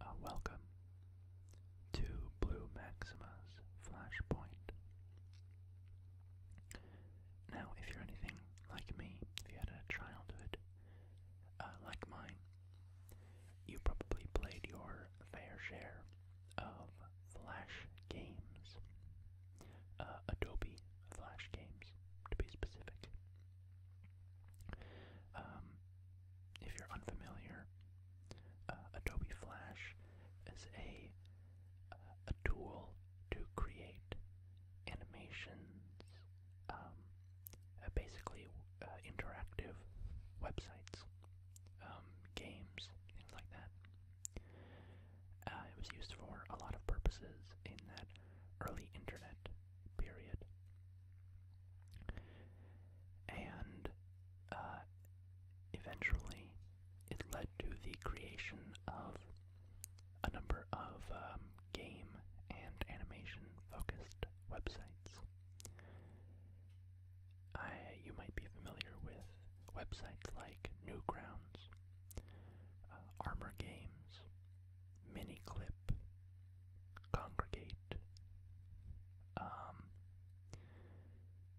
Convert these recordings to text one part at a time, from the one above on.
Uh, welcome to Blue Maxima's Flashpoint. Now, if you're anything like me, if you had a childhood uh, like mine, you probably played your fair share of Flash games, uh, Adobe Flash games to be specific. Um, if you're unfamiliar, uh, Adobe Flash is a tool to create animations, um, uh, basically uh, interactive websites, um, games, things like that. it was used for a lot of purposes in that early internet period and uh, eventually it led to the creation of a number of um, game and animation focused websites. you might be familiar with websites like Newgrounds, uh, Armor Games, mini clip congregate um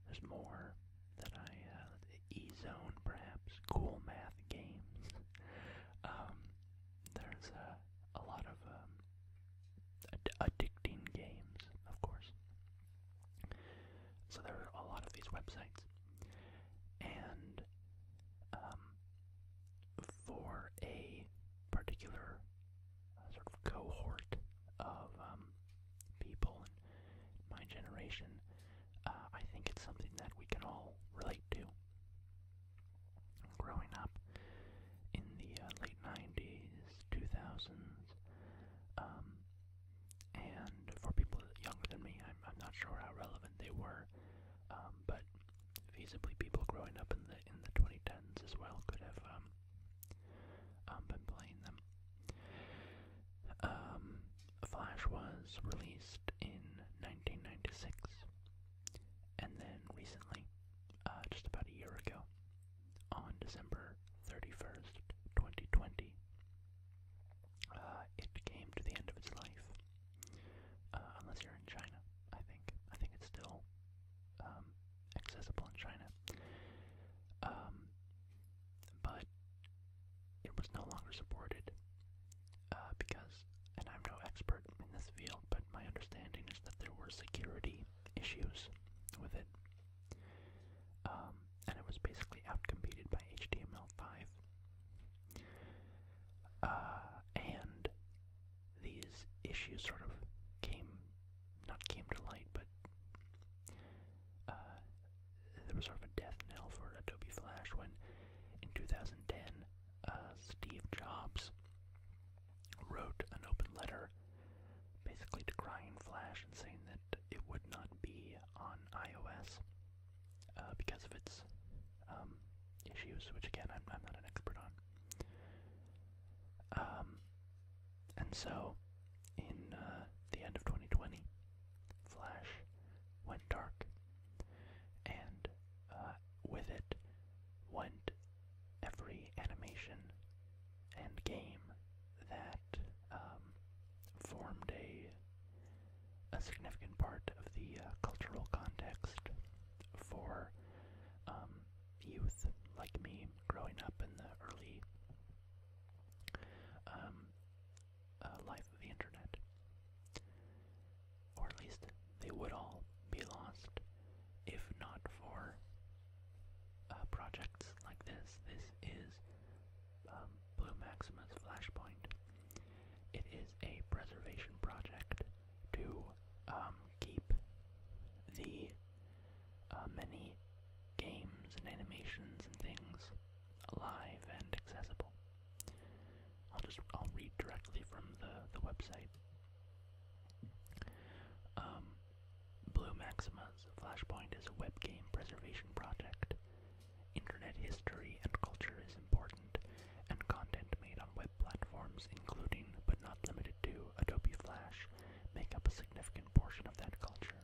there's more that I uh e zone perhaps cool math games um there's uh, a lot of um ad addicting games of course so there are a lot of these websites and um, for a particular uh, sort of cohort of um, people in my generation, uh, I think it's something that we can all relate to. Growing up in the uh, late 90s, 2000s, um, and for people younger than me, I'm, I'm not sure how relevant they were, um, but feasibly people growing up in the in the 2010s as well could have um, um, been playing them. Um, Flash was released in 1996, and then recently, uh, just about a year ago, on December 31st, 2020, uh, it came to the end of its life. Uh, unless you're in China. I think I think it's still um, accessible in China, um, but it was no longer supported uh, because. And I'm no expert in this field, but my understanding is that there were security issues with it, um, and it was basically outcompeted by HTML5. Uh, and these issues sort of came, not came to light, but uh, there was sort of a death knell for Adobe Flash when in 2010 uh, Steve Jobs wrote an open letter basically decrying Flash and saying that it would not be on iOS uh, because of its um, issues, which again I'm not an expert on. Um, and so, in uh, the end of 2020, Flash went dark, and uh, with it went every animation and game that um, formed a significant part of the uh, cultural context for um, youth like me growing up in the early um, uh, life of the internet. Or at least they would all be lost if not for uh, projects like this. This is um, Blue Maxima's Flashpoint. It is a preservation project to um, keep the uh, many games and animations and things alive and accessible. I'll just I'll read directly from the the website. Um, Blue Maxima's Flashpoint is a web game preservation project. Internet history and culture is important and content made on web platforms including, but not limited to, Adobe Flash make up a significant portion of that culture.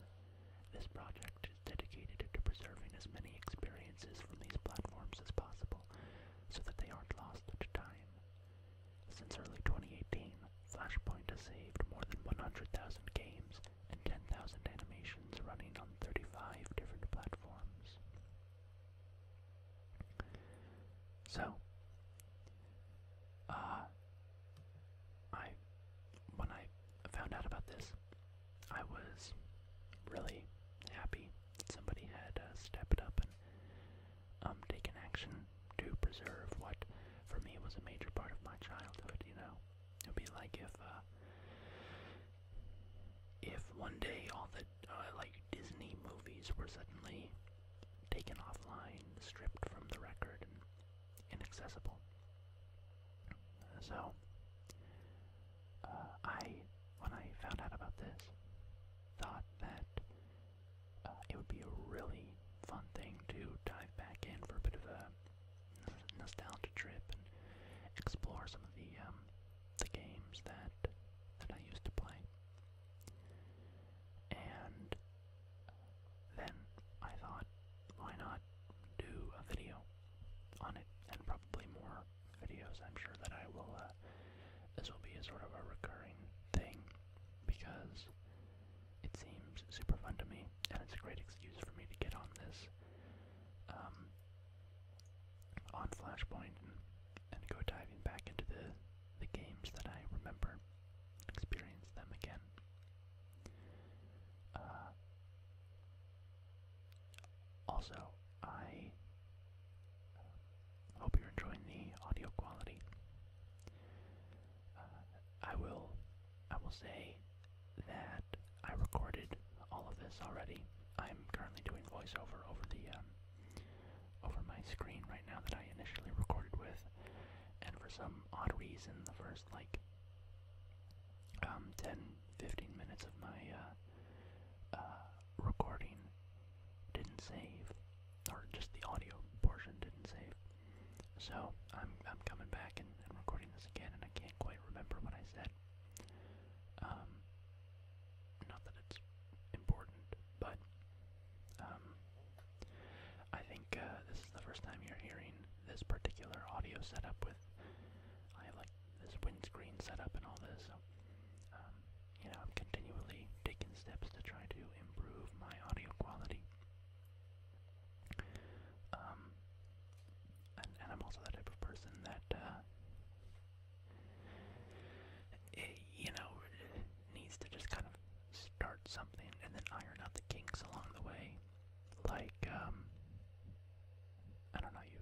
This project is dedicated to preserving as many experiences from these platforms as possible so that they aren't lost to time. Since early 2018, Flashpoint has saved more than 100,000 games and 10,000 animations running on 35 different platforms. So, uh, I, when I found out about this, I was really happy that somebody had uh, stepped up and um, taken action to preserve what, for me, was a major part of my childhood. You know, it'd be like if, uh, if one day all the uh, like Disney movies were suddenly taken offline, stripped from the record, and inaccessible. So, uh, I, when I found out about this, thought that uh, it would be a really fun thing to dive back in for a bit of a nostalgia trip and explore some of the um, the games that that I used to play. And then I thought, why not do a video on it, and probably more videos. I'm sure that I will. Uh, this will be a sort of a recurring thing because it seems super fun to me, and it's a great excuse for me to get on this um, on Flashpoint and go diving back into the the games that I remember, experience them again. Uh, also, I uh, hope you're enjoying the audio quality. Uh, I will, I will say that I recorded all of this already. I'm currently doing voiceover over the um, over my screen right now that I initially recorded with, and for some odd reason, the first like um, 10 15 minutes of my uh, uh, recording didn't save, or just the audio portion didn't save. So I'm I'm coming back and, recording this again, and I can't quite remember what I said. Um, not that it's important, but um, I think uh, this is the first time you're hearing this particular audio setup with. I like this windscreen setup and all this, so um, you know I'm continually taking steps to try to improve my audio quality. Um, and, I'm also the type of person that, uh, eh, you know, needs to just kind of start something and then iron out the kinks along the way. Like, um, I don't know, you.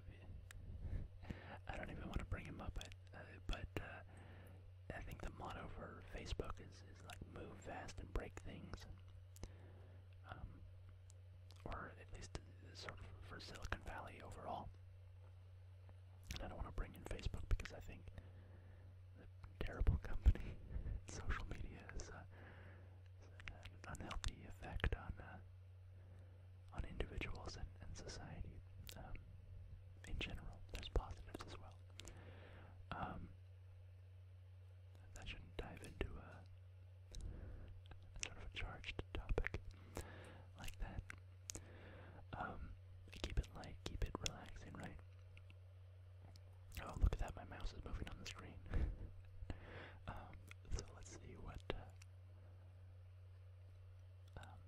I don't even want to bring him up, but, uh, but uh, I think the motto for Facebook is, is like move fast and break things. Um, or at least uh, sort of for Silicon Valley overall. And I don't want to bring in Facebook because I think the terrible company social media has uh, an unhealthy effect on uh, on individuals and, society um, in general. There's positives as well. Um, shouldn't dive into a sort of a charged topic like that. Um, keep it light, keep it relaxing, right? Oh, look at that, my mouse is moving on the screen. um, so let's see what, uh, um,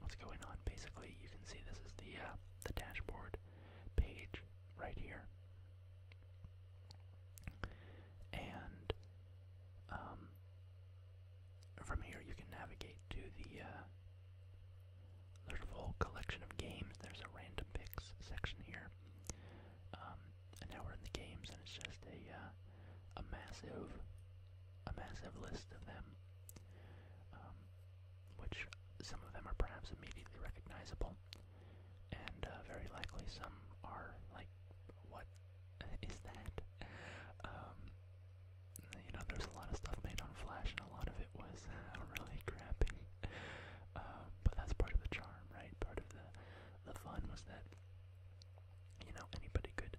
what's going on. Basically, you can see this is the, uh, the dashboard page right here. And, um, from here you can navigate to the, uh, there's a whole collection of games. There's a random picks section here. and now we're in the games and it's just a, uh, a massive, a massive list of them. Um, which some of them are perhaps immediately recognizable. And uh, very likely some are like, what is that? Um, you know, there's a lot of stuff made on Flash, and a lot of it was really crappy. Um, but that's part of the charm, right? Part of the the fun was that you know anybody could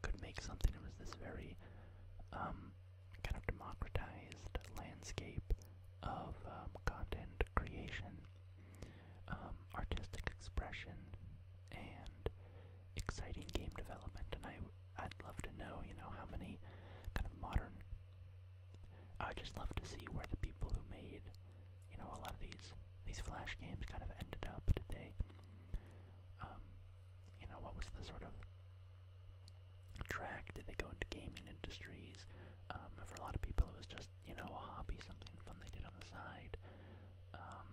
could make something. It was this very um, kind of democratized landscape of um, content creation, um, artistic expression, and exciting game development. And I I'd love to know, you know, how many kind of modern. I just love to see where the people who made, you know, a lot of these these flash games kind of ended up. Did they, um, you know, what was the sort of track? Did they go into gaming industries? Um, for a lot of people, it was just you know a hobby, something fun they did on the side. Um,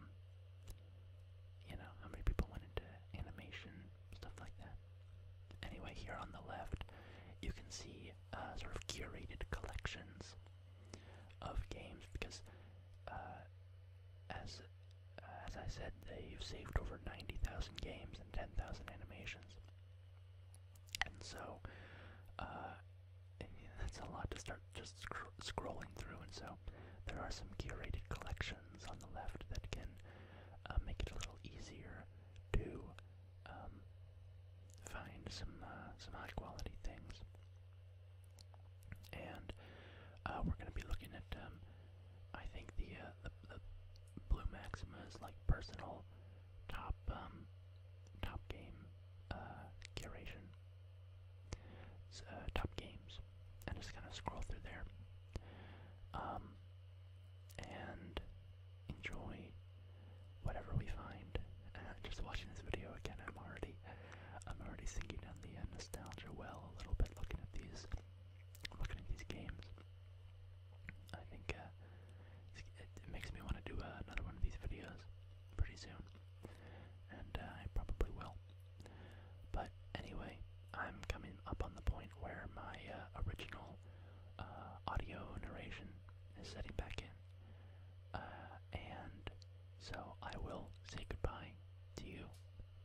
you know, how many people went into animation, stuff like that. Anyway, here on the left, you can see uh, sort of curated collections of games because, uh, as uh, as I said, they've saved over 90,000 games and 10,000 animations. And so, that's a lot to start just scrolling through, and so there are some curated collections on the left that can uh, make it a little easier to um, find some uh, some high quality things. And uh, we're going to be looking at um, I think the, the Blue Maxima's like personal top um, top game curation. top games and just kind of scroll through there um, and enjoy whatever we find. Uh, just watching this video again, I'm already, I'm already sinking down the uh, nostalgia well a little bit. Looking at these, looking at these games, I think uh, it, makes me want to do uh, another one of these videos pretty soon, and uh, I probably will. But anyway, I'm coming up on the point where my uh, original uh, audio narration is setting back in. Uh, and so I will say goodbye to you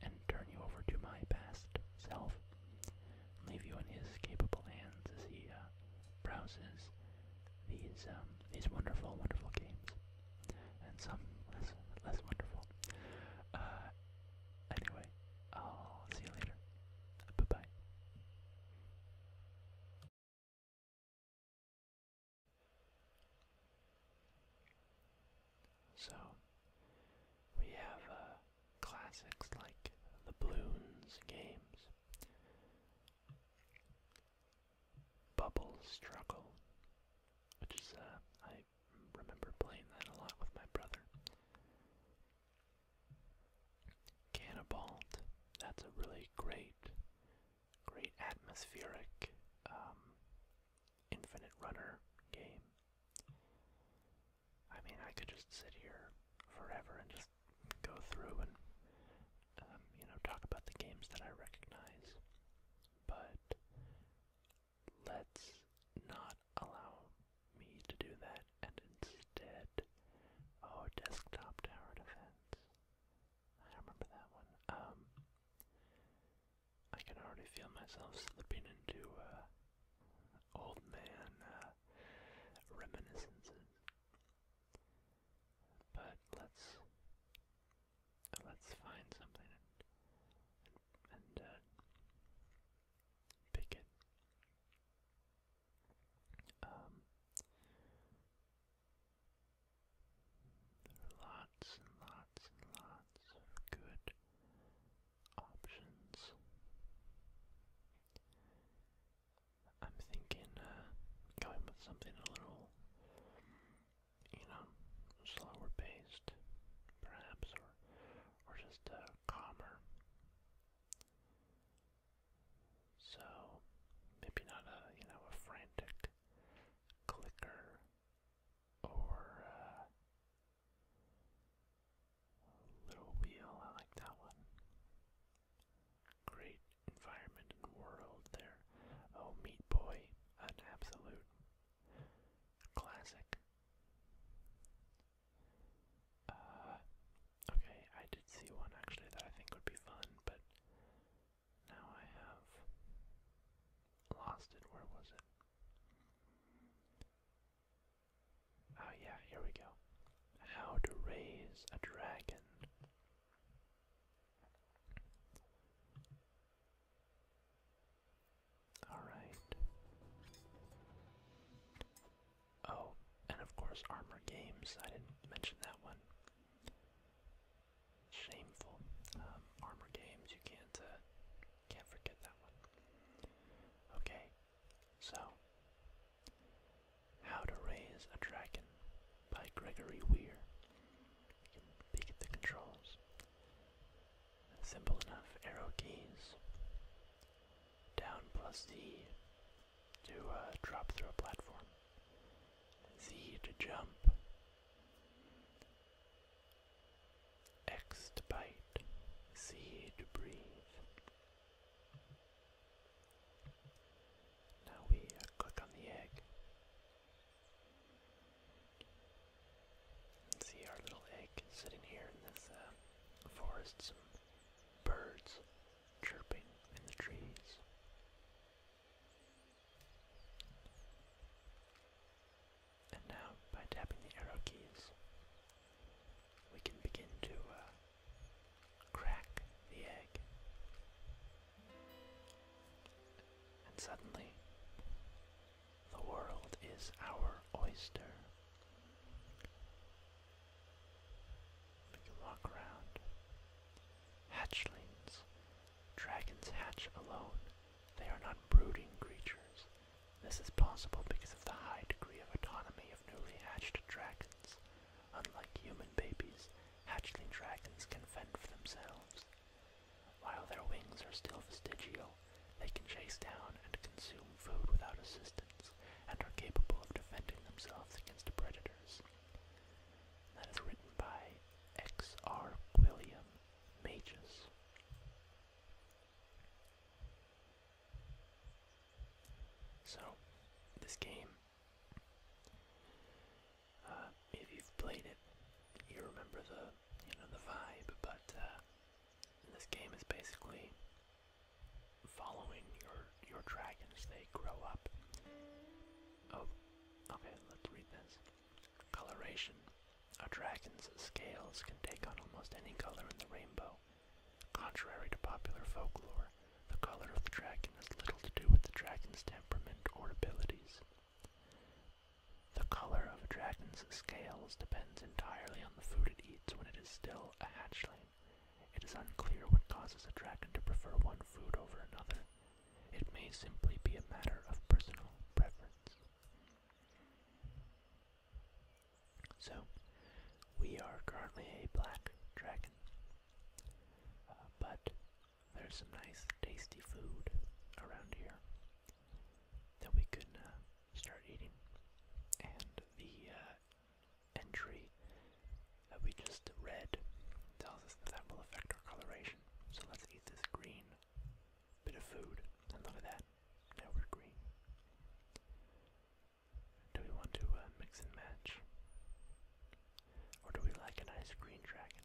and turn you over to my past self. Leave you in his capable hands as he browses these um, these wonderful, wonderful games, and some less less wonderful. Anyway, I'll see you later. Bye bye. So, we have uh, classics like the Balloons games, Bubble Struggle, which is, uh, I remember playing that a lot with my brother. Cannibalt, that's a really great, great atmospheric um, infinite runner game. I mean, I could just sit here forever and just go through and, um, you know, talk about the games that I recognize. But let's not allow me to do that and instead our oh, desktop tower defense I remember that one um I can already feel myself slipping into uh old man uh reminiscences but let's let's find something and uh, Pick it. Um, lots and lots and lots of good options. I'm thinking uh, going with something a little, you know, slower paced, perhaps, or just uh, calmer. So maybe not a you know a frantic clicker or uh, little wheel. I like that one. Great environment and world there. Oh, Meat Boy, an absolute classic. Uh, okay, I did see one actually that I think would be fun, but now I have lost it. Where was it? Oh, yeah, here we go. How to raise a dragon. Alright. Oh, and of course, Armor Games. I didn't mention that one. Shameful. Um, Armor Games. You can't uh, can't forget that one. Okay, so How to Raise a Dragon by Gregory Weir. You can peek at the controls. Simple enough arrow keys. Down plus Z to uh, drop through a platform. Z to jump. X to bite. C to breathe. Now we uh, click on the egg see our little egg sitting here in this uh, forest. Some birds chirping in the trees. And now, by tapping the arrow keys, we can begin to uh, crack the egg. And suddenly, the world is our oyster. We can walk around. Hatchlings. Dragons hatch alone. They are not brooding creatures. This is possible because of the high degree of autonomy of newly hatched dragons. Unlike human babies, hatchling dragons can fend for themselves. While their wings are still vestigial, they can chase down and consume food without assistance, and are capable of defending themselves against predators. That is written by X.R. William Mages. So, this game, uh, if you've played it, you remember the, you know, the vibe, but uh, this game is basically following your your dragons. They grow up. Oh, okay. Let's read this. Coloration. A dragon's scales can take on almost any color in the rainbow. Contrary to popular folklore, the color of the dragon has little to do with the dragon's temperament or abilities. The color of a dragon's scales depends entirely on the food it eats when it is still a hatchling. It is unclear what causes a dragon to prefer one food over another. It may simply be a matter of personal preference. So, we are currently a black dragon, uh, but there's some nice tasty food around here that we could. uh, start eating. And the uh, entry that we just read tells us that that will affect our coloration. So let's eat this green bit of food. And look at that, now we're green. Do we want to uh, mix and match? Or do we like a nice green dragon?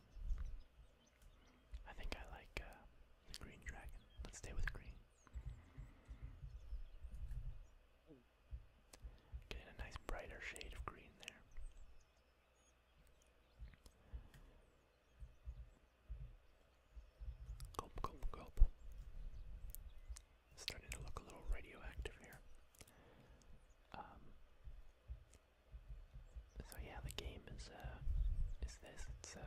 I think I like uh, the green dragon. Let's stay with green. Getting a nice brighter shade of green there. Gulp, gulp, gulp. Starting to look a little radioactive here. Um, so yeah, the game is uh, is this?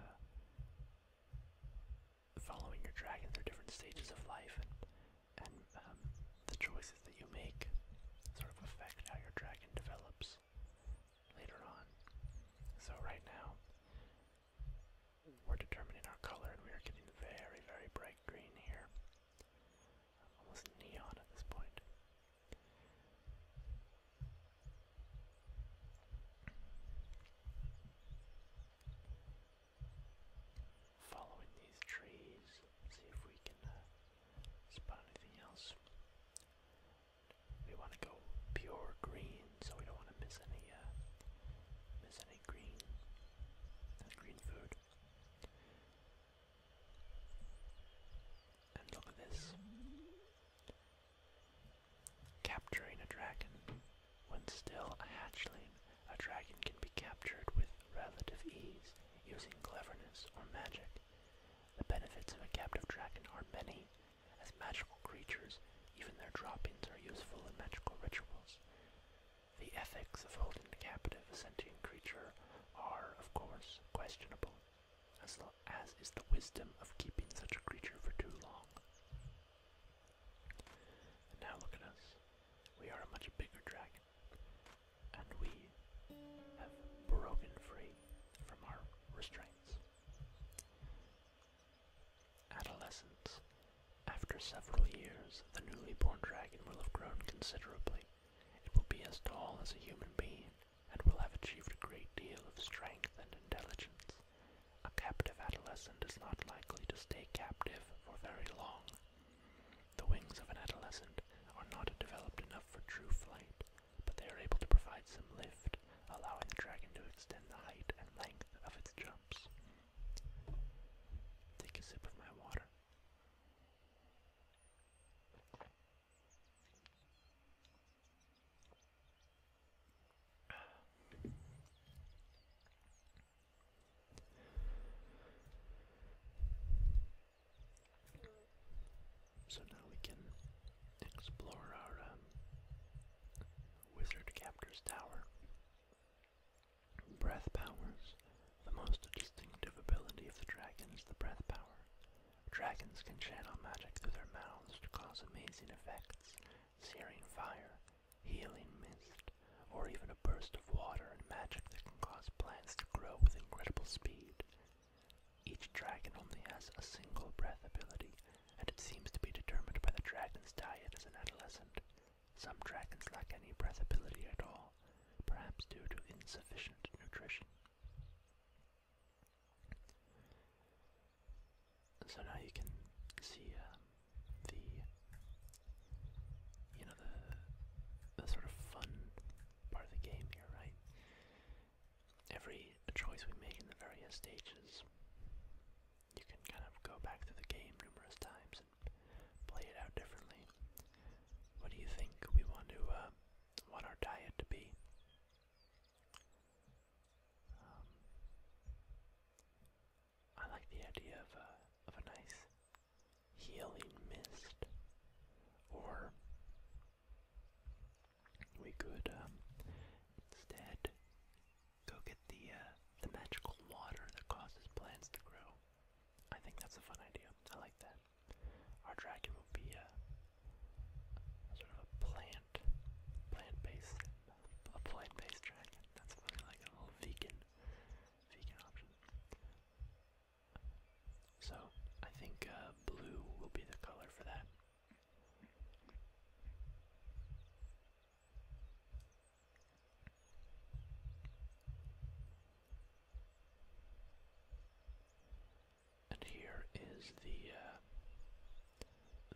following your dragon through different stages of life and, um, the choices that you make sort of affect how your dragon develops later on. So right now, we're determining our color and we are getting very, very bright green here. Almost neon at this point following these trees, see if we can uh, spot anything else. We want to go pure green, so we don't want to miss any uh, miss any green green food. And look at this. Capturing a dragon. When still a hatchling, a dragon can be captured with relative ease using cleverness or magic. The benefits of a captive dragon are many. As magical creatures, even their droppings are useful in magical rituals. The ethics of holding captive a sentient creature are, of course, questionable, as, as is the wisdom of keeping such a creature for too long now look at us. We are a much bigger dragon. And we have broken free from our restraints. Adolescence. After several years, the newly born dragon will have grown considerably. It will be as tall as a human being and will have achieved a great deal of strength and intelligence. A captive adolescent is not likely to stay captive for very long. The wings of an adolescent are not developed enough for true flight, but they are able to provide some lift, allowing the dragon to extend the height and length of its jumps. Take a sip of my water. So now we can explore our um, Wizard Captor's Tower. Breath powers. The most distinctive ability of the dragons. the breath power. Dragons can channel magic through their mouths to cause amazing effects searing fire, healing mist, or even a burst of water and magic that can cause plants to grow with incredible speed. Each dragon only has a single breath ability, and it seems to be determined by the dragon's diet as an adolescent. Some dragons lack any breath ability at all, perhaps due to insufficient nutrition. So now you can see um, the you know the sort of fun part of the game here, right? Every choice we make in the various stages, you can kind of go back to the game numerous times and play it out differently. What do you think we want to uh, want our diet to be? Um, I like the idea of a, uh, of a nice healing mist. Or we could um, instead go get the uh, the magical water that causes plants to grow. I think that's a fun idea. I like that. Our dragon will be a, uh, sort of a plant, plant-based, a plant-based dragon. That's funny, like a little vegan so I think uh, blue will be the color for that. And here is the uh,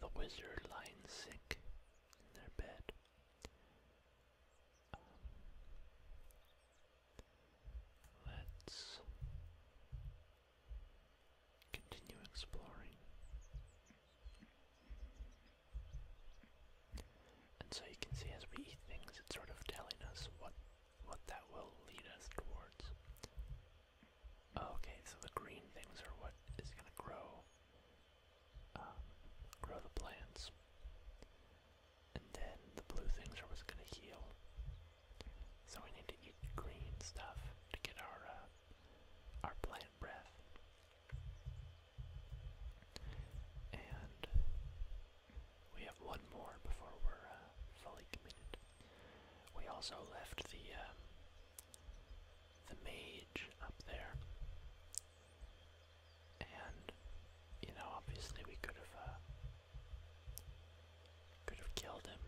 the wizard lying sick in their bed let's continue exploring. And so you can see as we eat things, it's sort of telling us what what that will lead us towards. Okay, so the green things are what is going to grow um, grow the plants. And then the blue things are what's going to heal. So we need to eat green stuff to get our uh, our plant breath. And we have one more before we're uh, fully committed. We also left the um, the mage up there and you know, obviously we could have uh, could have killed him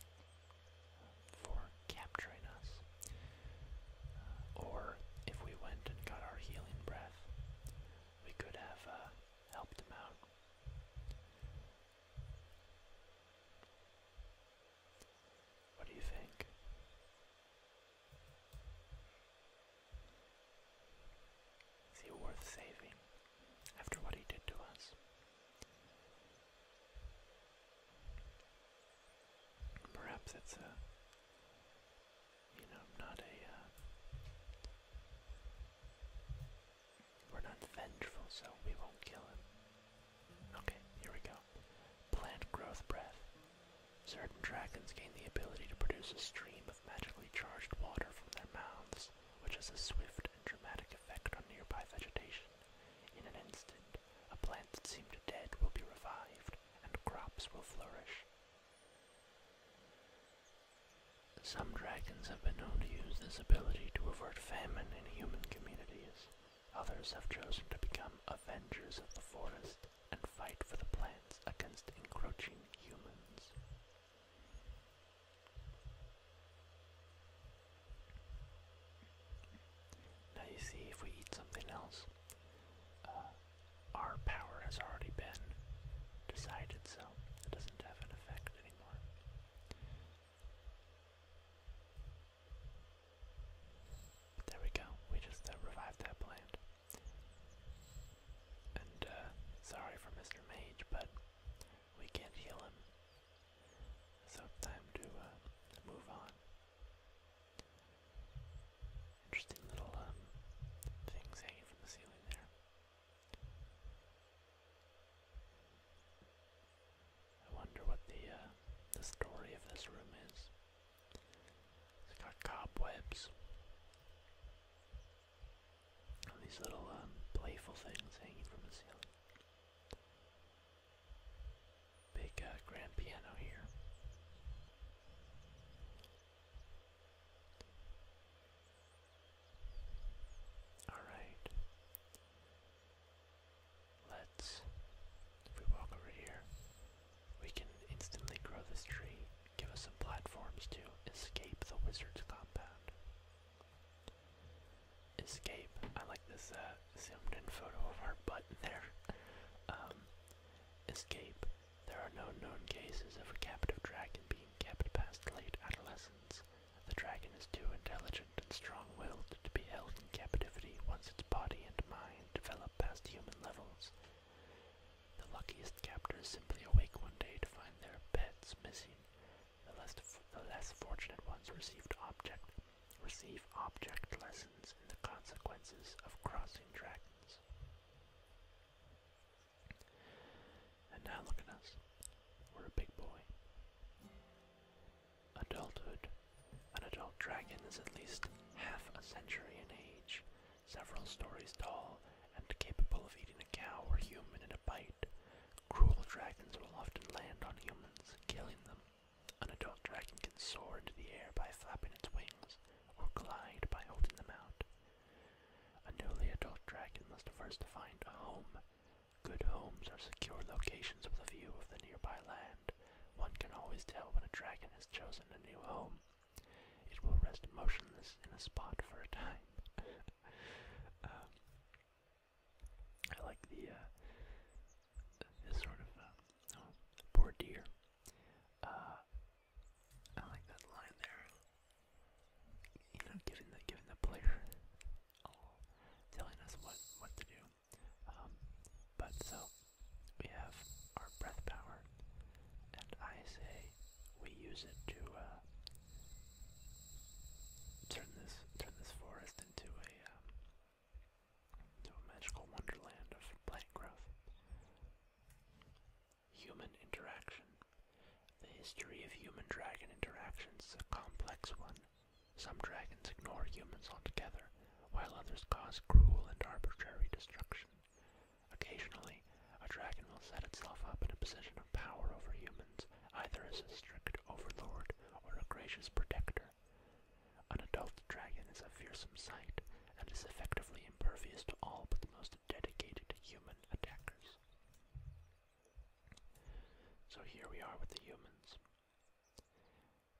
uh, for capturing us. Uh, or if we went and got our healing breath, we could have helped him out. What do you think? Is he worth saving after what he did to us? Perhaps it's a, you know, not a, uh, we're not vengeful, so we won't kill him. Okay, here we go. Plant growth breath. Certain dragons gain the ability to produce a stream of magically charged water from their mouths, which has a swift and dramatic effect on nearby vegetation. In an instant, a plant that seemed dead will be revived, and crops will flourish. Some dragons have been known to use this ability to avert famine in human communities. Others have chosen to become avengers of the forest and fight for the plants against encroaching humans. Now you see, if we eat something else, uh, our power has already been decided, so it doesn't have an effect anymore. there we go. We just uh, revived that plant. And uh, sorry for Mr. Mage, but we can't heal him. So time to uh, move on. Interesting little um, things hanging from the ceiling there. I wonder what the uh, the story of this room is. It's got cobwebs. these little um, playful things hanging from the ceiling. Big uh, grand piano here. Alright. Let's, if we walk over here, we can instantly grow this tree, give us some platforms to escape the wizard's compound. Escape. I like this uh, zoomed in photo of our butt there. Um, escape. There are no known cases of a captive dragon being kept past late adolescence. The dragon is too intelligent and strong-willed to be held in captivity once its body and mind develop past human levels. The luckiest captors simply awake one day to find their pets missing. The less, the less fortunate ones received object, receive object lessons in the consequences of crossing dragons. And now look at us. We're a big boy. Adulthood. An adult dragon is at least half a century in age, several stories tall and capable of eating a cow or human in a bite. Cruel dragons will often land on humans, killing them. An adult dragon can soar into the air by flapping its wings, or glide by holding them out. A newly adult dragon must first find a home. Good homes are secure locations with a view of the nearby land. One can always tell when a dragon has chosen a new home it will rest motionless in a spot for a time. Um, I like uh, the sort of uh, deer. Uh, I like that line there. You know, giving the player oh, telling us what what to do. Um, but so we have our breath power, and I say we use it to uh, turn this turn this forest into a um, a magical wonderland of plant growth. Human interaction. The history of human-dragon interactions is a complex one. Some dragons ignore humans altogether, while others cause cruel and arbitrary destruction. Occasionally, a dragon will set itself up in a position of power over humans, either as a strict overlord or a gracious protector. An adult dragon is a fearsome sight and is effectively impervious to all but the most dedicated human attackers. So here we are with the humans.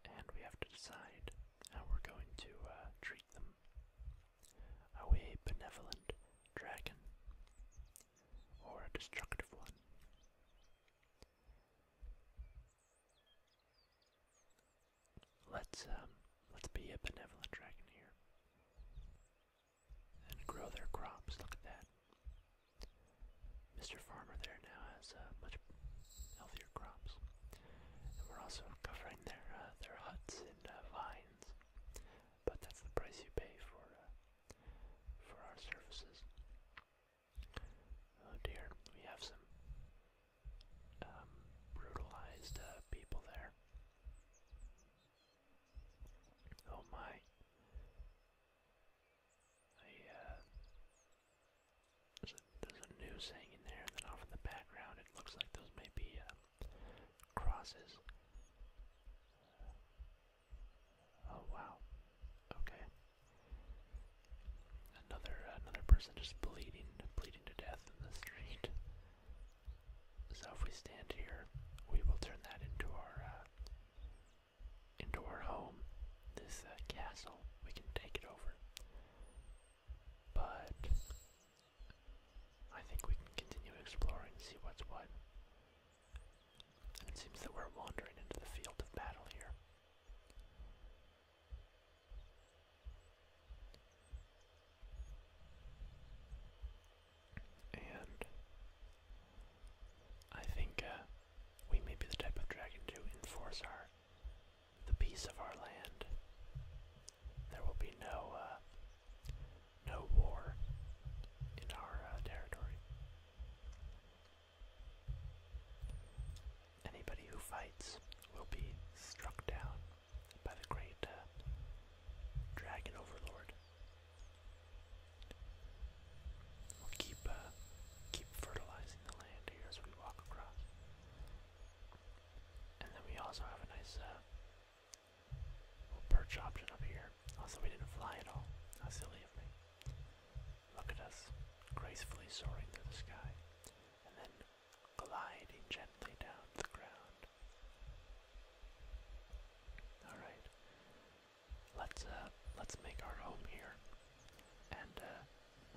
And we have to decide how we're going to uh, treat them. Are we a benevolent dragon or a destructive one? Let's um, let's be a benevolent dragon here and grow their crops. Look at that. Mr. Farmer there now has uh, much healthier crops, and we're also covering their uh, their huts and uh, vines, but that's the price you pay for uh, for our services. Oh dear, we have some um, brutalized uh, people there. Oh my. I, uh, there's, a, there's a news hanging there, and then off in the background it looks like those may be uh, crosses. Oh wow. Okay. Another another person just bleeding, bleeding to death in the street. So if we stand here, we will turn that into our uh, into our home. This uh, castle, we can take it over. But I think we can continue exploring, see what's what. It seems that we're wandering into the field of battle here. And I think uh, we may be the type of dragon to enforce our the peace of our land there will be no uh, no war in our uh, territory. Anybody who fights will be struck down by the great uh, dragon overlord. We'll keep keep fertilizing the land here as we walk across, and then we also have a nice perch option up here. Also, we didn't fly at all. How silly of me. Look at us, gracefully soaring through the sky, and then gliding gently down to the ground. Alright. Let's uh, let's make our home here. And uh,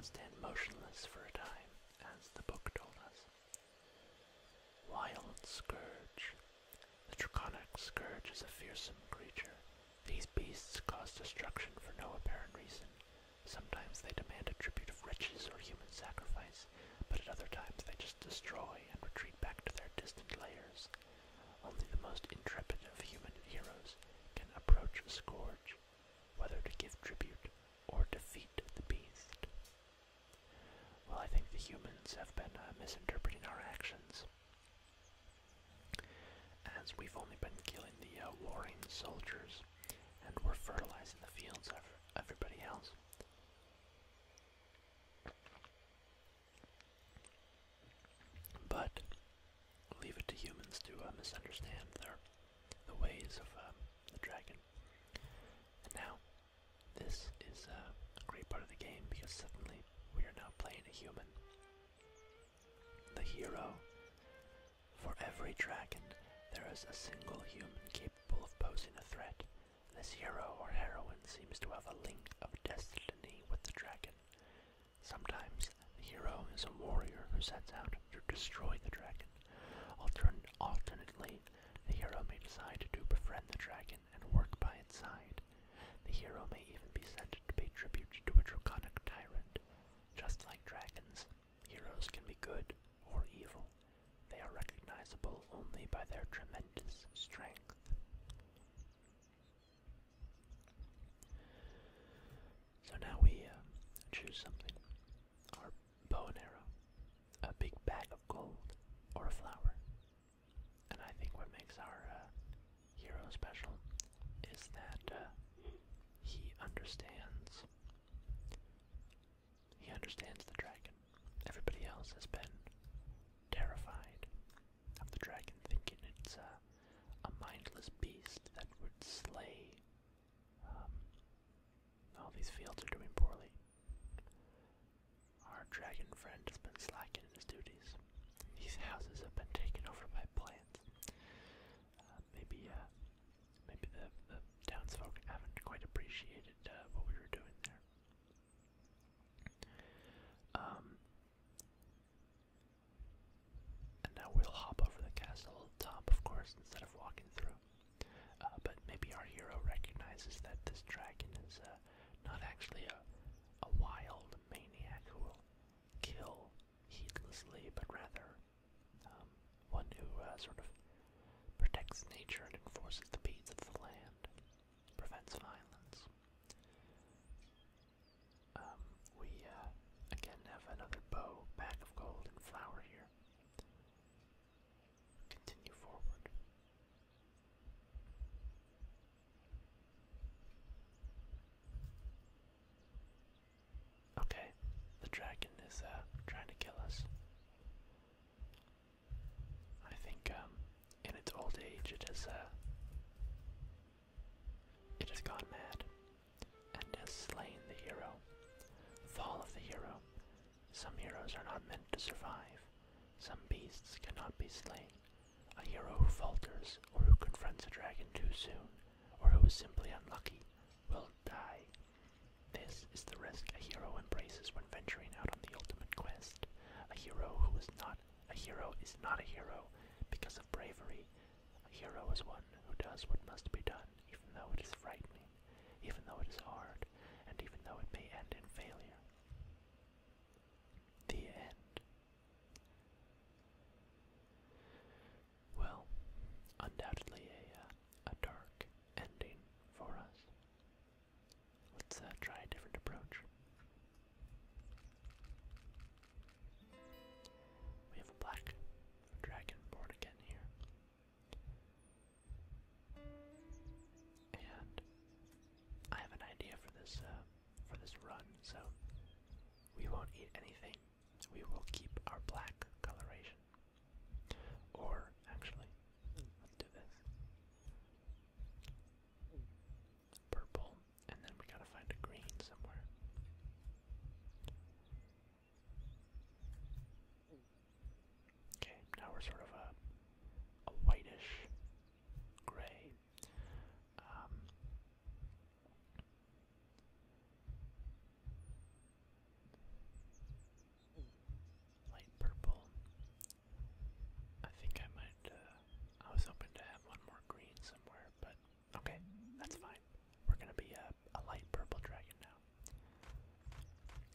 stand motionless for a time, as the book told us. Wild Scourge. The Draconic Scourge is a fearsome creature. These beasts cause destruction for no apparent reason. Sometimes they demand a tribute of riches or human sacrifice, but at other times they just destroy and retreat back to their distant lairs. Only the most intrepid of human heroes can approach a scourge, whether to give tribute or defeat the beast. Well, I think the humans have been uh, misinterpreting our actions. As we've only been killing the uh, warring soldiers, and we're fertilizing the fields of everybody else. But leave it to humans to uh, misunderstand the ways of um, the dragon. now this is a great part of the game because suddenly we are now playing a human. The hero. For every dragon, there is a single human capable of posing a threat. This hero or heroine seems to have a link of destiny with the dragon. Sometimes the hero is a warrior who sets out to destroy the dragon. alternately, the hero may decide to befriend the dragon and work by its side. The hero may even be sent to pay tribute to a draconic tyrant. Just like dragons, heroes can be good or evil. They are recognizable only by their tremendous strength. So now we uh, choose something bow and arrow, a big bag of gold, or a flower. And I think what makes our uh, hero special is that uh, he understands. He understands the dragon. Everybody else has been terrified of the dragon, thinking it's uh, a mindless beast that would slay. Um, all these fields are doing poorly. Our dragon friend has been slacking in his duties. These houses have been taken over by plants. Uh, maybe, uh, maybe the, townsfolk haven't quite appreciated uh, what we were doing there. Um, and now we'll hop over the castle top, of course, instead of walking through. Uh, but maybe our hero recognizes that this dragon is uh, not actually a, wild maniac who will kill heedlessly, but rather um, one who uh, sort of protects nature and enforces the peace of the land, prevents violence. Um, we again have another bow, bag of gold, and flour here. Continue forward. Okay, the dragon is uh, trying to kill us. I think um, in its old age it has uh, it has gone mad and has slain the hero. Fall of the hero some heroes are not meant to survive. Some beasts cannot be slain. A hero who falters, or who confronts a dragon too soon, or who is simply unlucky, will die. This is the risk a hero embraces when venturing out on the ultimate quest. A hero who is not a hero is not a hero because of bravery. A hero is one who does what must be done, even though it is frightening even though it is hard, and even though it may end in failure. The end. Well, undoubtedly a, uh, a dark ending for us. Let's uh, try a different approach. We have a black dragon born again here. And I have an idea for this uh, for this run, so we won't eat anything. We will keep our black coloration. Or actually, let's do this. Purple, and then we gotta find a green somewhere. Okay, now we're sort of a, a whitish gray. Um, light purple. I think I might, uh, I was hoping to have one more green somewhere, but okay, that's fine. We're gonna be a, a light purple dragon now.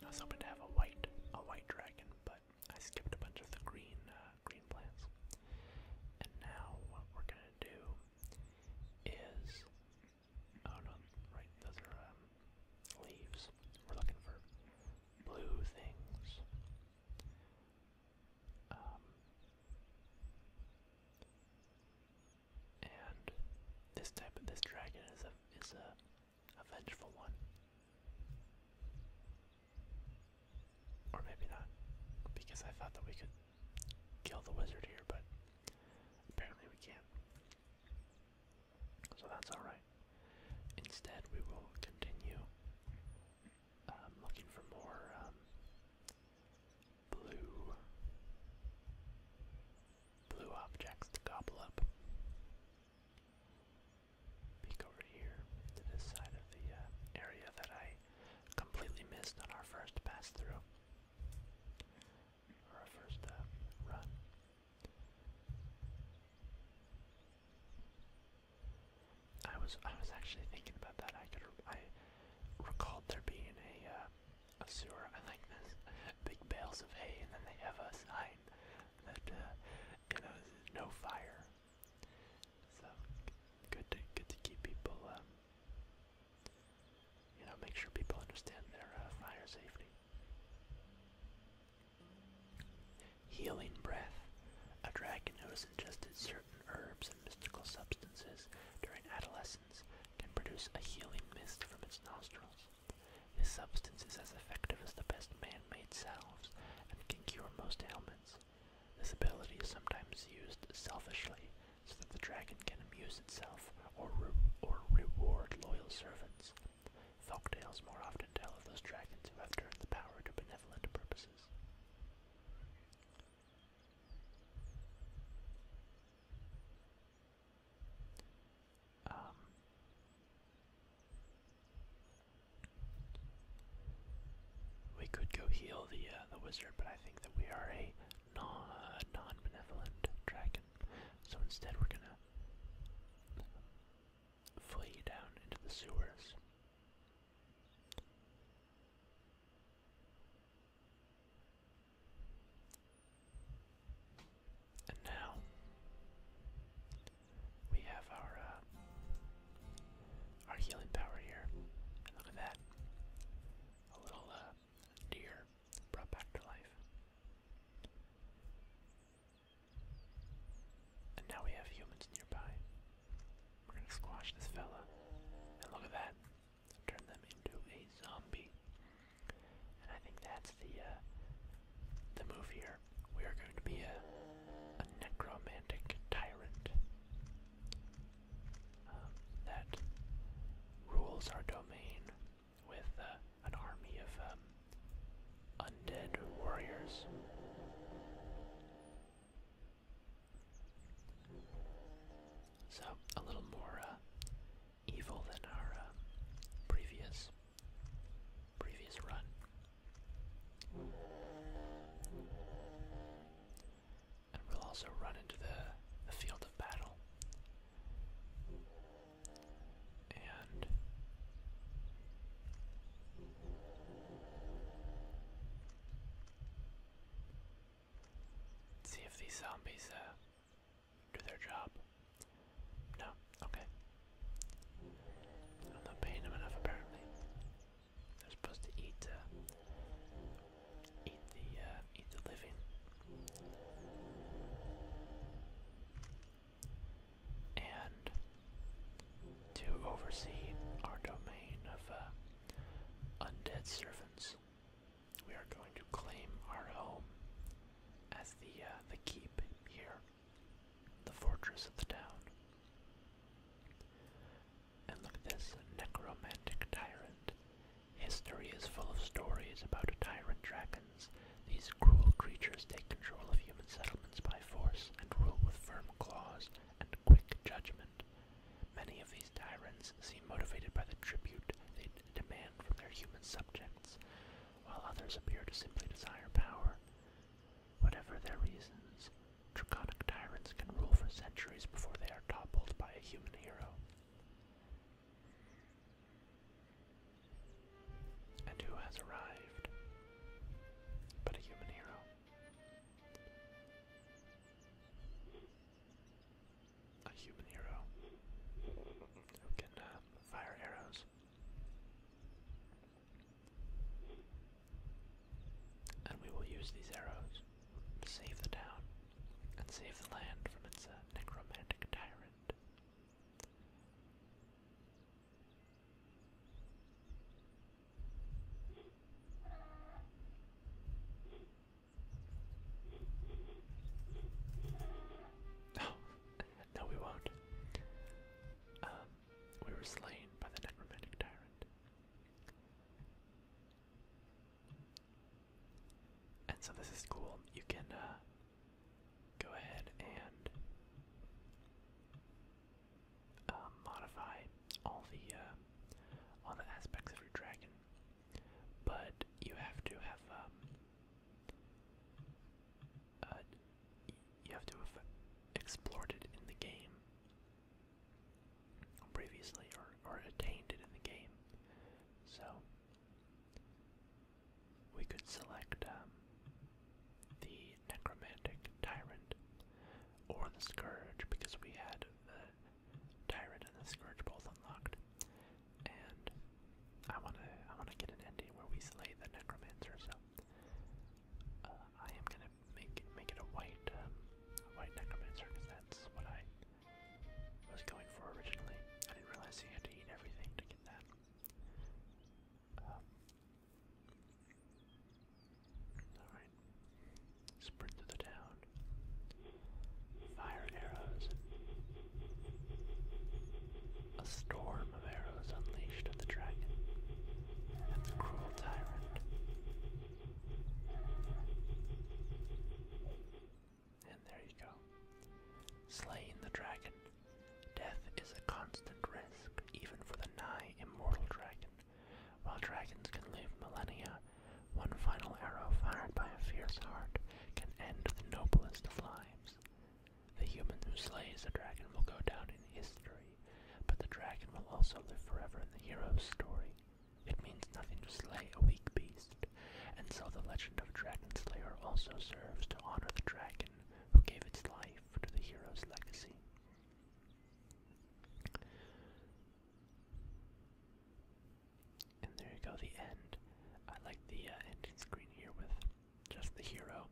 I was hoping to have a white, a white dragon, but I skipped a bunch of the green, uh, green plants. And now what we're gonna do is, oh no, right? Those are um, leaves. We're looking for blue things. Um, and this type of this dragon is a is a a vengeful one. Or maybe not, because I thought that we could kill the wizard here, but apparently we can't. So that's alright. Instead, we will continue um, looking for more um, blue blue objects to gobble up peek over here to this side of the uh, area that I completely missed on our first pass through or our first uh, run. I was I was actually thinking about that. I could I recalled there being a uh, a sewer. I like this big bales of hay, and then they have a sign that uh, you know no fire. So good to good to keep people um, you know make sure people understand their uh, fire safety. Healing breath. A dragon who has ingested certain herbs and mystical substances during adolescence can produce a healing mist from its nostrils. This substance is as effective as the best man-made salves and can cure most ailments. This ability is sometimes used selfishly so that the dragon can amuse itself or, or reward loyal servants. Folktales more often tell of those dragons who have turned the power to benevolent purposes. Um, we could go heal the uh, the wizard, but I think that we are a non uh, non benevolent dragon, so instead we're gonna flee down into the sewers. And now we have our uh, our healing power here. look at that. A little uh, deer brought back to life. And now we have humans nearby. We're gonna squash this fella. And look at that. Turn them into a zombie. And I think that's the uh, the move here. We are going to be a, necromantic tyrant um, that rules our domain with uh, an army of um, undead warriors. So, a little more uh, evil than our uh, previous previous run. And we'll also run into the, field of battle. And see if these zombies uh, do their job. No, okay. I'm not paying them enough apparently. They're supposed to eat, uh, eat the, uh, eat the living. And to oversee our domain of uh, undead servants, we are going to claim our home as the the keep here the fortress of the town. And look at this necromantic tyrant. History is full of stories about tyrant dragons. These cruel creatures take control of human settlements by force and rule with firm claws and quick judgment. Many of these tyrants seem motivated by the tribute they demand from their human subjects, while others appear to simply desire power. Whatever their reasons, draconic tyrants can rule for centuries before they are toppled by a human hero. And who has arrived but a human hero? A human hero who can uh, fire arrows and we will use these arrows to save the town and save the land from its uh, necromantic tyrant. No, no, we won't. Um, we were slain by the necromantic tyrant. And so this is cool. You can uh, go ahead and uh, modify all the uh, all the aspects of your dragon, but you have to have um, you have to have explored it in the game previously or, or attained it in the game. So we could select um, the necromantic tyrant or the scourge because we had the tyrant and the scourge both unlocked. And I wanna I wanna get an ending where we slay the necromancer, uh, I am gonna make it, make it a white, um, a white necromancer because that's what I was going for originally. I didn't realize you had to eat everything to get that. Um, Alright. Sprint to the town. Fire arrows. A storm of arrows unleashed at the dragon and the cruel tyrant. And there you go. Slaying the dragon. Death is a constant risk, even for the nigh immortal dragon. While dragons can live millennia, one final arrow fired by a fierce heart can end the noblest of lives. The human who slays the dragon will go down in history, but the dragon will also live forever in the hero's story. It means nothing to slay a weak beast, and so the legend of Dragon Slayer also serves to honor the dragon who gave its life to the hero's legacy. And there you go, the end. I like the uh, ending screen here with just the hero.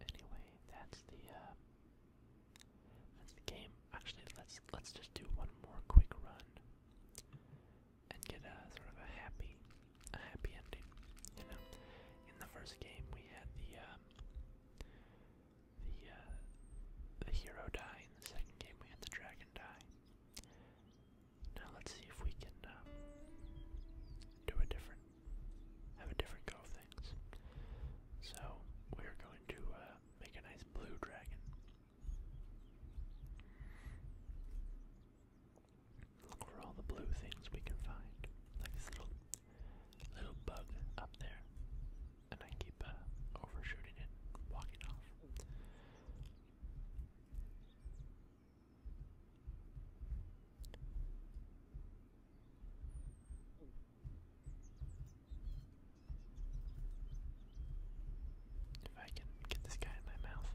And anyway, that's the uh, that's the game. Actually, let's let's just do one more quick run and get a sort of a happy a happy ending. You know, in the first game we had the uh, the uh, the hero die. In the second game we had the dragon die. Now let's see if we can uh, do a different, have a different go of things. So we're going to uh, make a nice blue dragon. Look for all the blue things we can find, like this little little bug up there, and I keep uh, overshooting it, walking off. If I can get this guy in my mouth,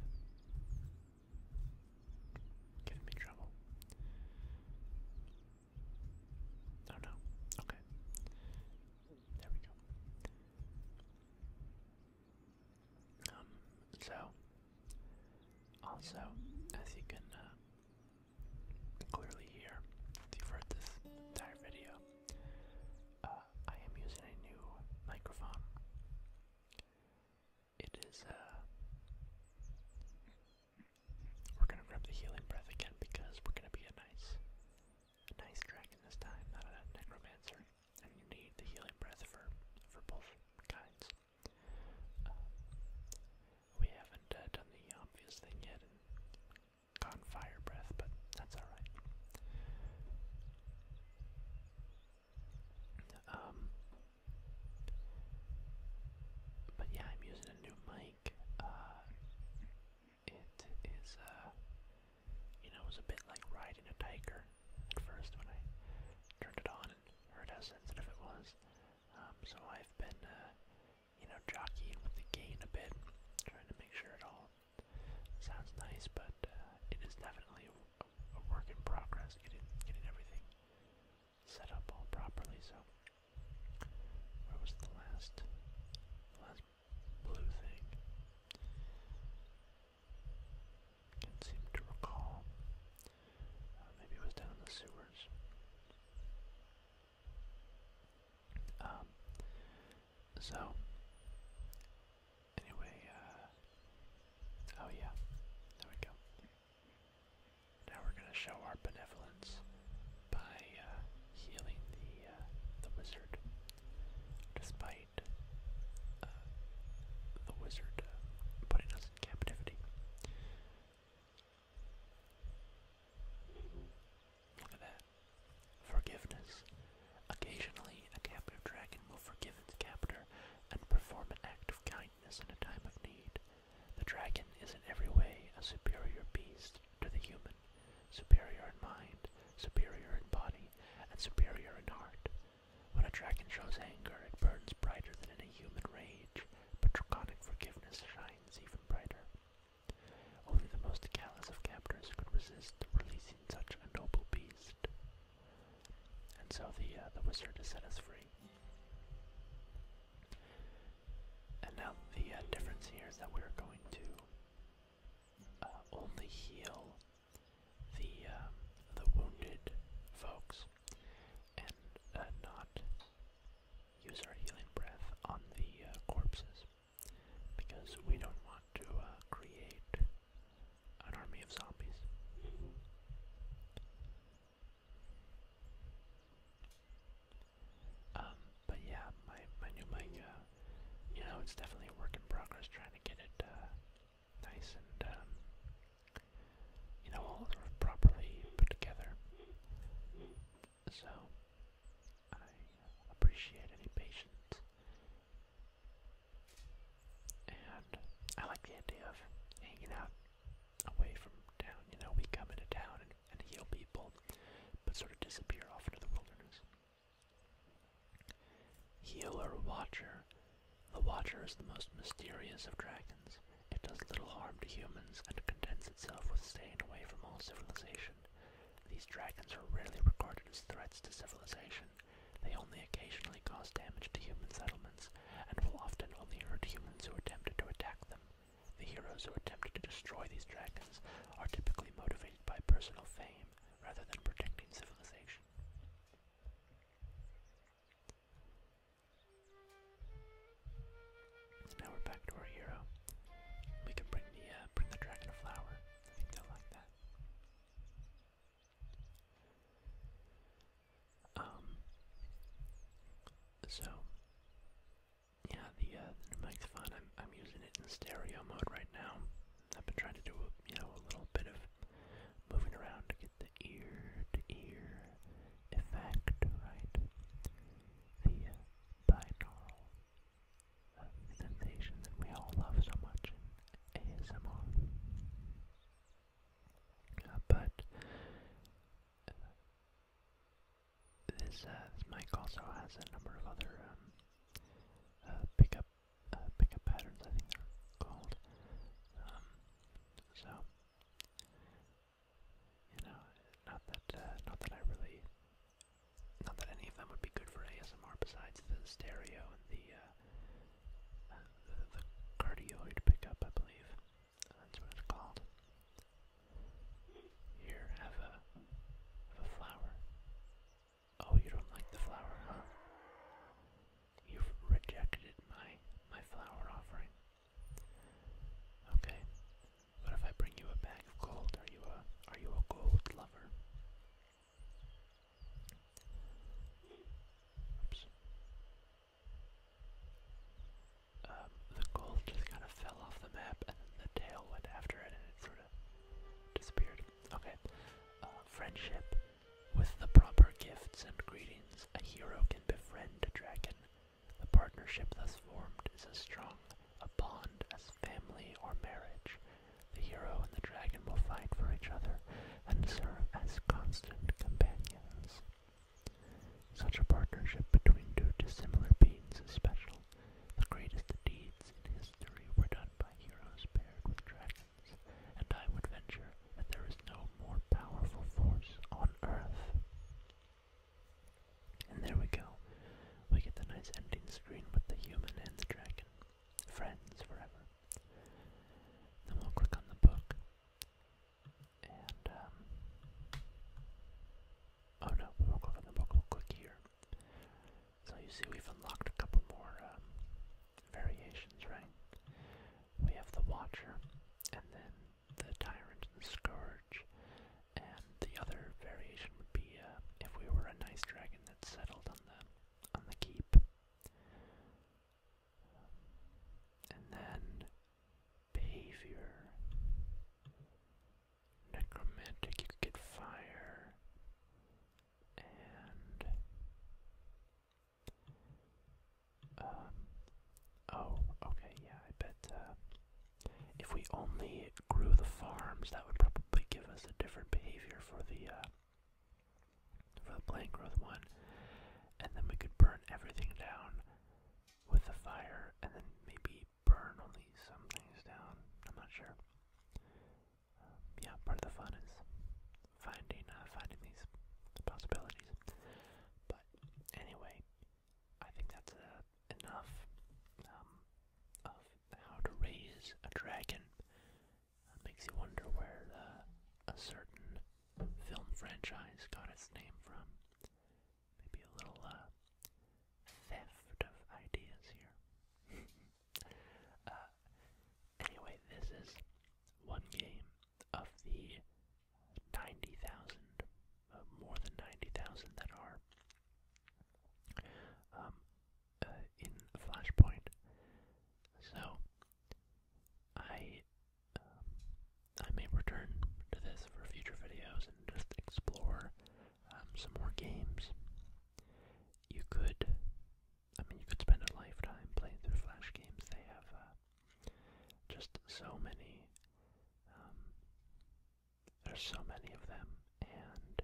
get me trouble. Oh no. Okay. There we go. Um, so, also, as you can uh, clearly hear, if you've heard this entire video, uh, I am using a new microphone. It is, uh, we're gonna grab the healing breath again because we're gonna be a nice, a nice dragon this time, not a necromancer. And you need the healing breath for for both kinds we haven't uh, done the obvious thing yet gone fire breath, but that's alright. Um, but yeah, I'm using a new mic. Uh, it is, uh, you know, it was a bit like riding a tiger at first when I turned it on or how sensitive it was. Um, so I've been, uh, you know, jockeying with the gain a bit, trying to make sure it all sounds nice, but uh, it is definitely a, work in progress, getting, getting everything set up all properly. So, where was the last, last blue thing? Can't seem to recall. Uh, maybe it was down in the sewers. Um, so, anyway, uh, oh yeah, there we go. Now we're gonna show our benevolence by uh, healing the the wizard, despite uh, the wizard putting uh, us in captivity. Look at that. Forgiveness. Occasionally, a captive dragon will forgive its captor and perform an act of kindness in a time of need. The dragon is in every way a superior beast to the human, superior in mind, superior in body, and superior in heart. When a dragon shows anger, it burns brighter than any human rage, but draconic forgiveness shines even brighter. Only the most callous of captors could resist releasing such a noble beast. And so the, uh, the wizard has set us free. And now the uh, difference here is that we're going to uh, only heal the um, the wounded folks, and uh, not use our healing breath on the uh, corpses, because we don't want to uh, create an army of zombies. Um, but yeah, my my new mic, you know, it's definitely a work in progress. Trying to get it nice and um, you know all sort of properly put together. So I appreciate any patience, and I like the idea of hanging out away from town. You know, we come into town and, and heal people, but sort of disappear off into the wilderness. Healer Watcher the Watcher is the most mysterious of dragons. It does little harm to humans and contents itself with staying away from all civilization. These dragons are rarely regarded as threats to civilization. They only occasionally cause damage to human settlements, and will often only hurt humans who attempt to attack them. The heroes who attempt to destroy these dragons are typically motivated by personal fame rather than protecting civilization. So now we're back to our hero. We can bring the uh, bring the dragon a flower. I think they'll like that. Um. So yeah, the uh, mic's fun. I'm I'm using it in stereo mode right now. I've been trying to do you know a little bit of moving around get the ear to ear effect, right? The uh, sensation that we all love so much in ASMR. Uh, but uh, this, uh, mic also has a number of other um, pickup pickup patterns, I think they're called. Um, so you know, not that uh, not that I really, not that any of them would be good for ASMR besides the stereo and the uh, uh, the, the cardioid pickup, I believe that's what it's called. Here, have a have a flower. Oh, you don't like the flower, huh? You've rejected my my flower offering. Okay. But if I bring you a bag of gold, are you a are you a gold lover? Oops. Um, the gold just kind of fell off the map, and then the tail went after it, and it sort of disappeared. Okay. Uh, friendship. With the proper gifts and greetings, a hero can befriend a dragon. The partnership thus formed is as strong a bond as family or marriage. The hero and the dragon will fight for each other and serve as constant companions. Such a partnership between two dissimilar beings is special. The greatest deeds in history were done by heroes paired with dragons, and I would venture that there is no more powerful force on earth. And there we go. We get the nice ending screen with the human and the dragon. Friends forever. Then we'll click on the book. And, um, Oh no, we will click on the book, we'll click So you see, we've unlocked a couple more um, variations, right? we have the Watcher, and then the Tyrant and the Scourge, and the other variation would be uh, if we were a nice dragon that settled on the on the keep. And then behavior, necromantic. You could fire, and um, oh, okay, yeah, I bet uh, if we only grew the farms, that would probably give us a different behavior for the uh, for the plant growth one, and then we could burn everything down with the fire, and then maybe burn only some things down. I'm not sure. Um, yeah, part of the fun is finding uh, finding these possibilities anyway, I think that's uh, enough um, of how to raise a dragon. makes you wonder where the, a certain film franchise got its name from. Maybe a little uh, theft of ideas here. Uh, anyway, this is one game of the 90,000, uh, more than 90,000 that are um, uh, in Flashpoint. So, I um, I may return to this for future videos and just explore um, some more games. You could, I mean, you could spend a lifetime playing through Flash games. They have uh, just so many. Um, there's so many of them, and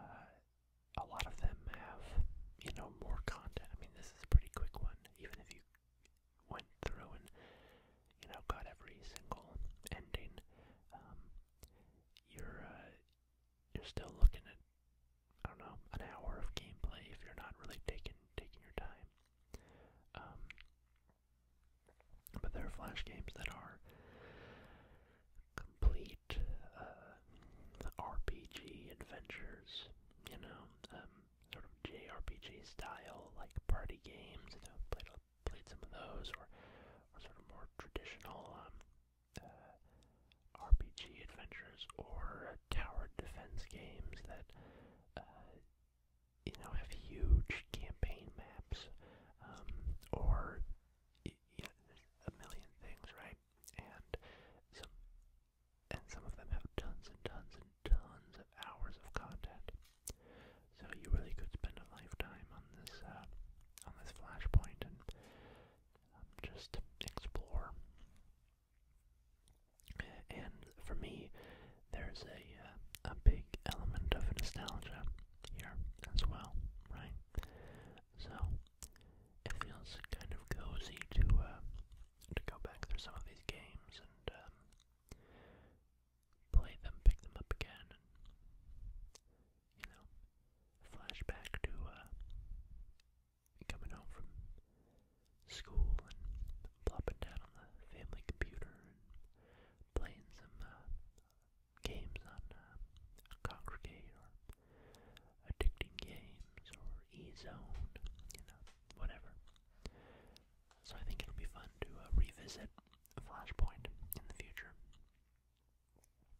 uh, a lot of them have, you know, more content. I mean, this is a pretty quick one, even if you went through and, you know, got every single ending. Um, you're uh, you're still looking at, I don't know, an hour of gameplay if you're not really taking taking your time. Um, but there are Flash games that are complete uh, RPG adventures, you know, um, sort of JRPG style, like party games. You know, played played some of those, or sort of more traditional um, uh, RPG adventures, or tower defense games that uh, you know have huge campaign maps um, or you know, a million things, right? And some and some of them have tons and tons and tons of hours of content. So you really could spend a lifetime on this uh, on this flashpoint and um, just explore and for me, there's a uh, a big element of nostalgia here as well, right? So it feels kind of cozy to uh, to go back through some of these games and um, play them, pick them up again, and you know, flash back to uh, coming home from school and plopping down on the family computer and playing some uh, games on uh, Addicting Games or E-Zone, you know, whatever. So I think it'll be fun to uh, revisit Flashpoint in the future.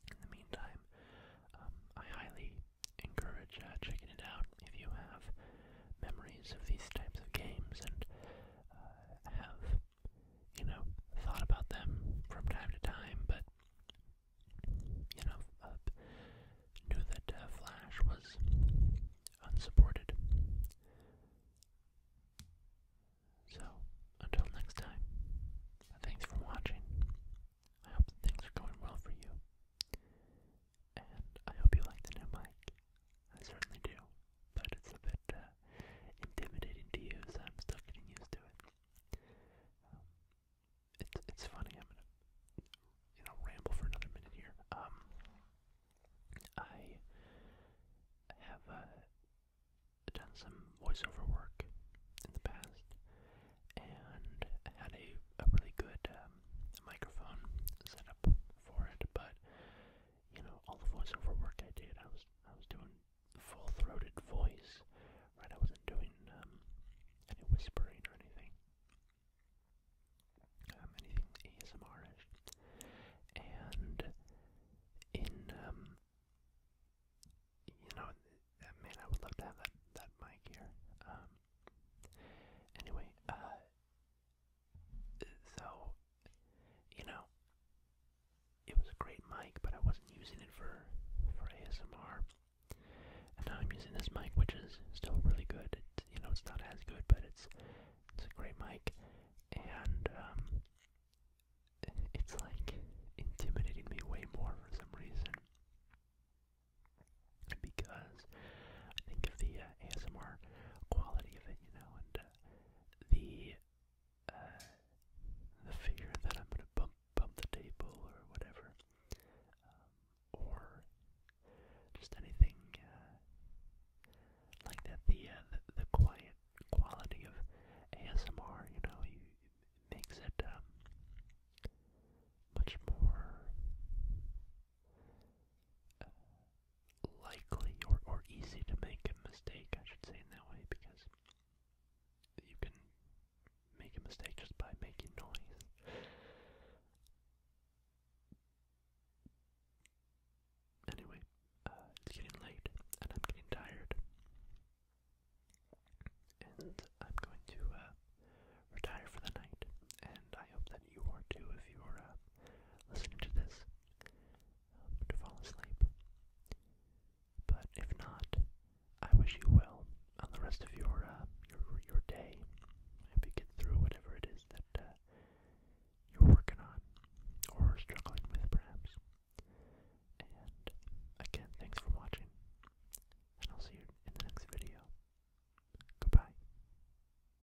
In the meantime, um, I highly encourage uh, checking it out if you have memories of these types of games and uh, have, you know, thought about them from time to time, but, you know, uh, knew that uh, Flash was unsupported. So, until next time, thanks for watching. I hope that things are going well for you and I hope you like the new mic. I certainly do, but it's a bit uh, intimidating to use. I'm still getting used to it. Um, it's it's funny. I'm gonna you know ramble for another minute here. Um, I have uh, done some voiceover work in the past and had a, a really good um, microphone set up for it, but you know, all the voiceover work I did, I was I was doing full throated voice, right? I wasn't doing um, any whispering or anything, um, anything asmr And in um, you know, uh, man, I would love to have that that mic here. Um, anyway, uh, so, you know, it was a great mic, but I wasn't using it for for ASMR. And now I'm using this mic, which is still really good. It's, you know, it's not as good, but it's it's a great mic, and um, it's like intimidating me way more for some reason. Because I think if the uh, ASMR quality of it, you know, and uh, the uh, the fear that I'm gonna bump bump the table or whatever, um, or just anything uh, like that. The, uh, the the quiet quality of ASMR, you know, you, it makes it um, much more. Uh, likely or, or easy to make a mistake, I should say in that way, because you can make a mistake just by making noise. Anyway, uh, it's getting late and I'm getting tired. And I'm going to uh, retire for the night. And I hope that you are too if you are uh, listening to this to fall asleep. But if not, I wish you well on the rest of your uh, your your day. I you get through whatever it is that uh, you're working on or struggling with, perhaps. And again, thanks for watching, and I'll see you in the next video. Goodbye.